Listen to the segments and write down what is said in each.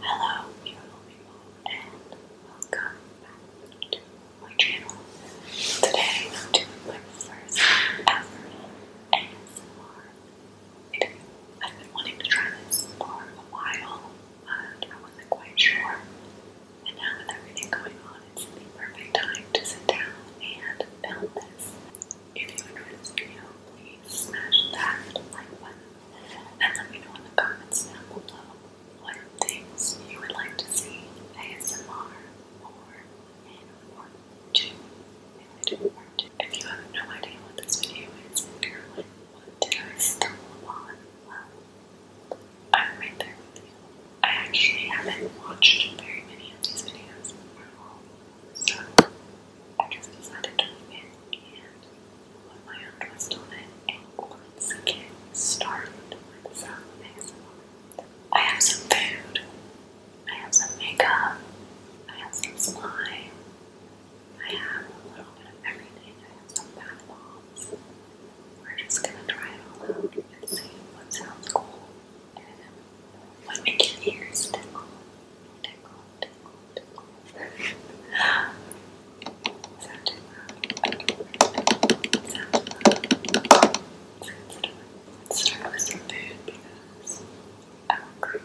Hello, beautiful and welcome back to my channel. Today, I'm doing my first ever ASMR I've been wanting to try this for a while, but I wasn't quite sure. And now with everything going on it's the perfect time to sit down and film this. If you enjoyed this video, please smash that like button and let me know in the comments down below what things you would like to see ASMR or in part 2. If you have no idea what this video is you're like, what did I stumble upon? I'm right there with you. I actually haven't watched very many of these videos in a while, so I just decided to leave it and put my own twist on it. And once I get started with some next one, I have some food, I have some makeup, I have some slime, I have a little bit of everything. I have some bath bombs. We're just gonna try it all out and see what sounds cool. And when we ears tickle, tickle, tickle, tickle. Is start with some food I'm hungry. Oh,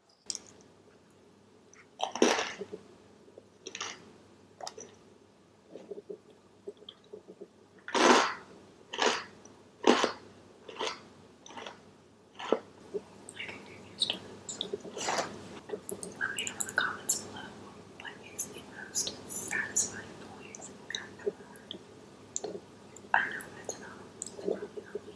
Let me know in the comments below what is the most satisfying noise in the I know it's not, it's probably not me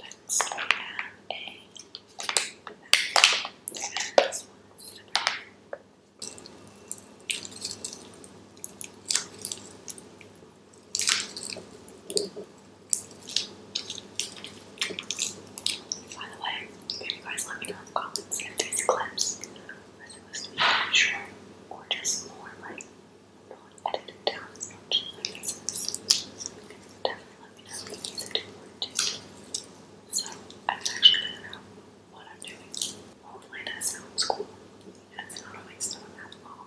Next by the way, if you guys let me know in the comments if these clips, whether it was or just more like edit down as much as I can. So you can let me know if you need more too. So I'm actually figuring out what I'm doing. Hopefully sounds cool. And not always so that long.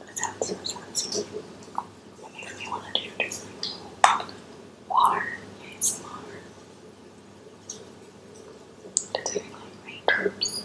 That's it so satisfying. It makes me want to do just like water ASMR. To doing like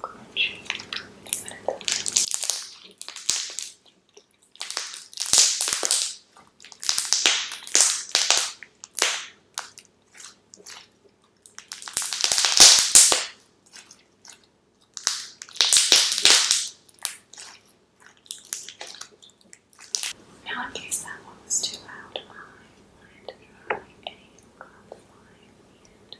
crunch. Now, in case that one was too loud, I wanted a crop line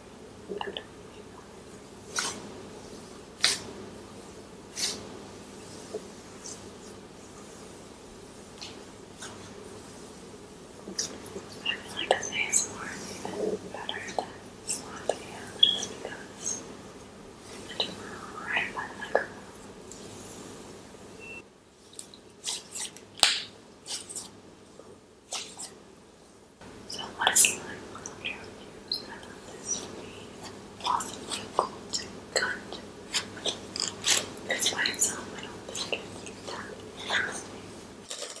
I feel like this ASMR is even better than Slot Cam just because I do right by the microphone. Thank you. So what is lime? Well, I'm sure you I thought this would be possibly to cut. It's by itself, I don't think that Oh my gosh, yes.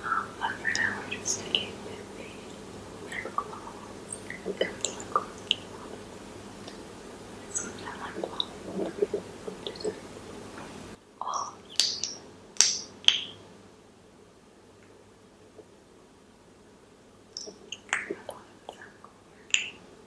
but for now, just sticking with the miracle balls and miracle This one I like well. Oh. I thought it was that cool. Good.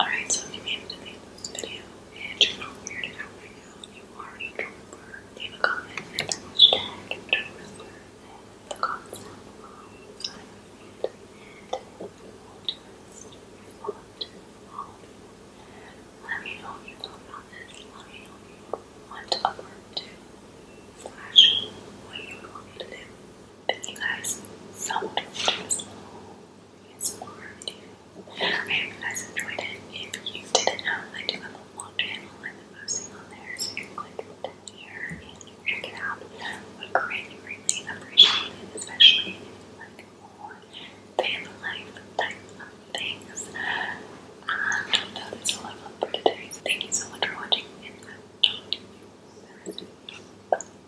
Alright, so if you made it to this video and you're not weirded out right now, you are a leave a comment and a hashtag trooper the comments down below. I'm read and I will do this. I will Let me know if you thought about this. Let me know if you want to upload to what you want me to do. Thank you guys so much for I hope you enjoyed it. If you didn't know, I do have a vlog channel I've posting on there, so you can click the link and check it out. I would greatly, greatly especially like more life type of things. Um, that is all I want for today. So thank you so much for watching, and